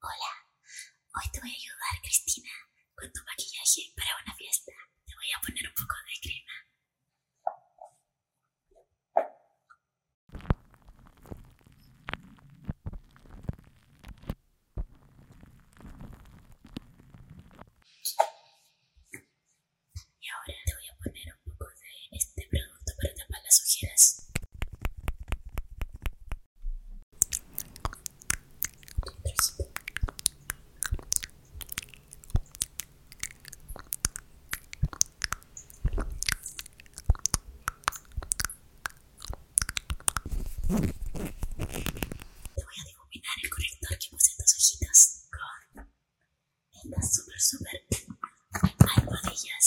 Hola, hoy te voy a ayudar, Cristina, con tu maquillaje para una fiesta. Te voy a poner un poco de crema. Y ahora te voy a poner un poco de este producto para tapar las ojeras. Te voy a difuminar el corrector que puse en tus ojitos con estas super super almohadillas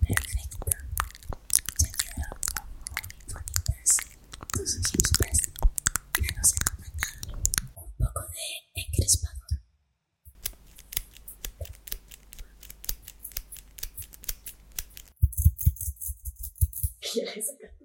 Perfecto. Ya quedaron bonitas un poco de encrespador. quieres sacar tu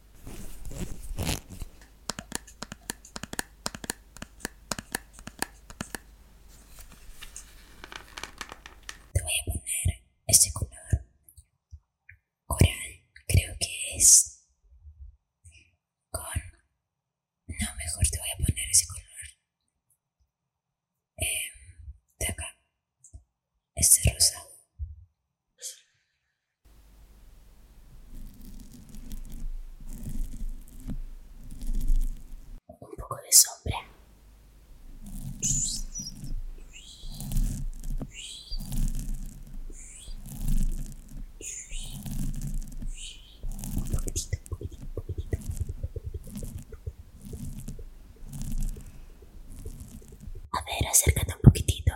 Te voy a poner este color coral, creo que es con... No, mejor te voy a poner ese color eh, de acá, este rosa un poco de sombra. Un poquitito, un poquitito, un poquitito. A ver, acércate un poquitito.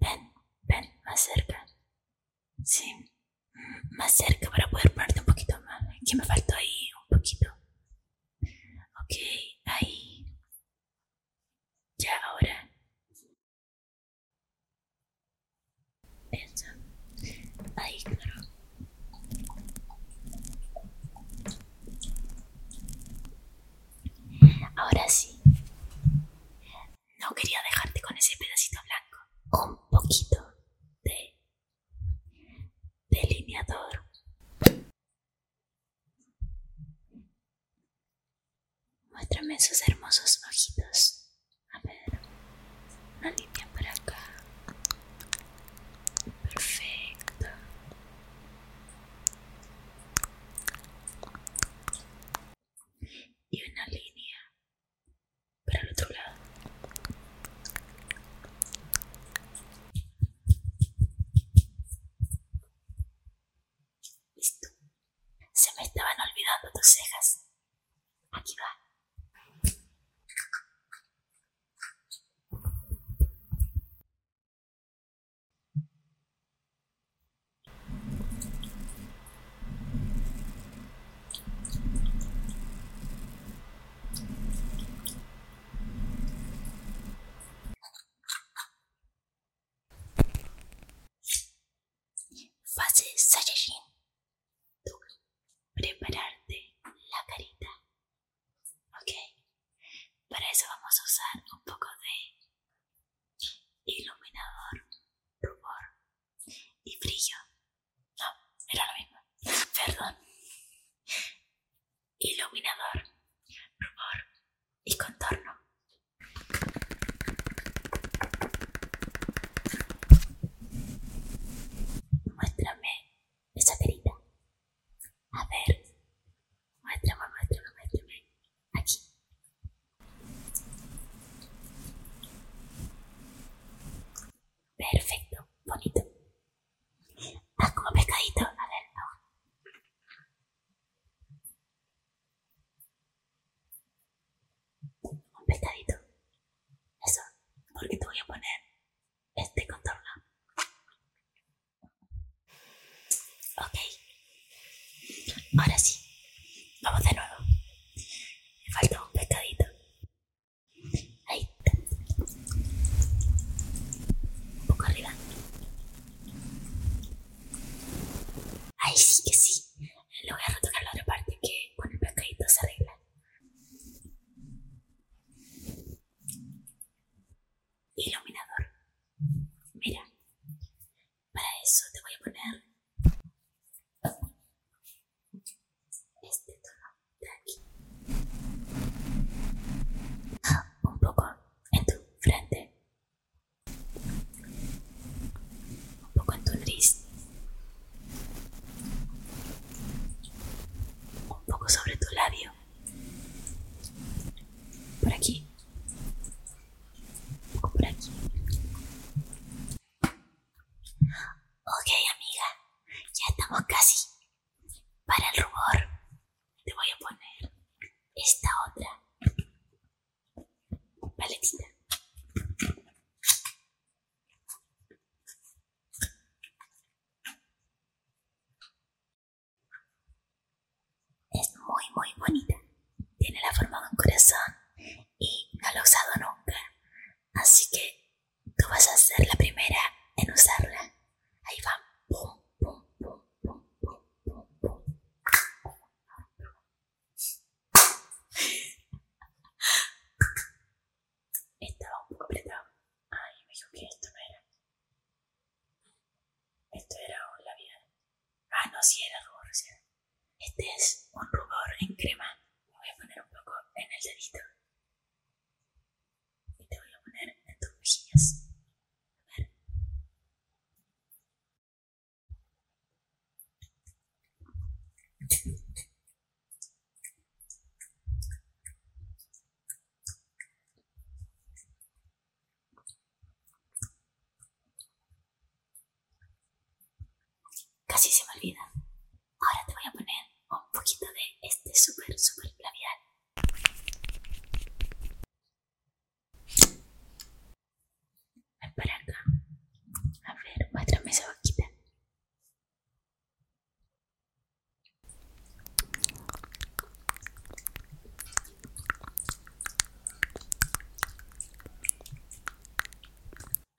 Ven, ven, más cerca. Sí, mm, más cerca para poder ponerte un poquito más. Que me faltó ahí un poquito. Ok, ahí. Ya ahora. Eso. Ahí, claro. Ahora sí. No quería dejarte con ese pedacito blanco. Un poquito de delineador. Muéstrame esos hermosos ojitos. A ver. Una línea para acá. Perfecto y una línea para el otro lado. Listo. Se me estaban olvidando tus cejas. Aquí va. Fase Saiyajin. Prepararte la carita. Ok. Para eso vamos a usar un poco de Iluminador, rubor y brillo. No, era lo mismo. Perdón. Iluminador, rubor y contorno. Muéstrame esa carita. A ver, Muéstrame, muéstrame, muéstrame. Aquí. Perfecto, bonito. Haz ah, como pescadito. A ver, no Un pescadito. Eso, porque te voy a poner este contorno. Ok. Ahora sí. Vamos de nuevo. Me falta un pescadito. Ahí. Un poco arriba. Ahí sí que sí. Lo voy a retocar la otra parte que con el pescadito se arregla iluminador. Mira, para eso te voy a poner este tono de aquí. Un poco en tu frente. Un poco en tu nariz. Un poco sobre tu labio. Por aquí. por aquí. Ok, amiga. Ya estamos casi. Para el rubor, te voy a poner esta otra paletita. Es muy, muy bonita. Tiene la forma de un corazón y no la he usado nunca. Así que tú vas a ser la primera en usarla. Ahí va. Estaba un poco Ay, me esto no era. Esto era un labial. Ah, no, si era rubor Este es un rubor en crema. Me voy a poner un poco en el dedito. Y te voy a poner en tus mejillas. A ver. Casi se me olvida. Ahora te voy a poner un poquito de este súper super labial. Ven para acá. A ver, muéstrame esa boquita.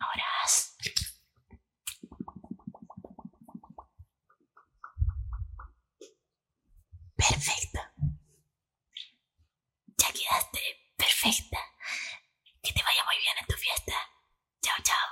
Horas. Perfecto. Ya quedaste perfecta. Que te vaya muy bien en tu fiesta. Chao, chao.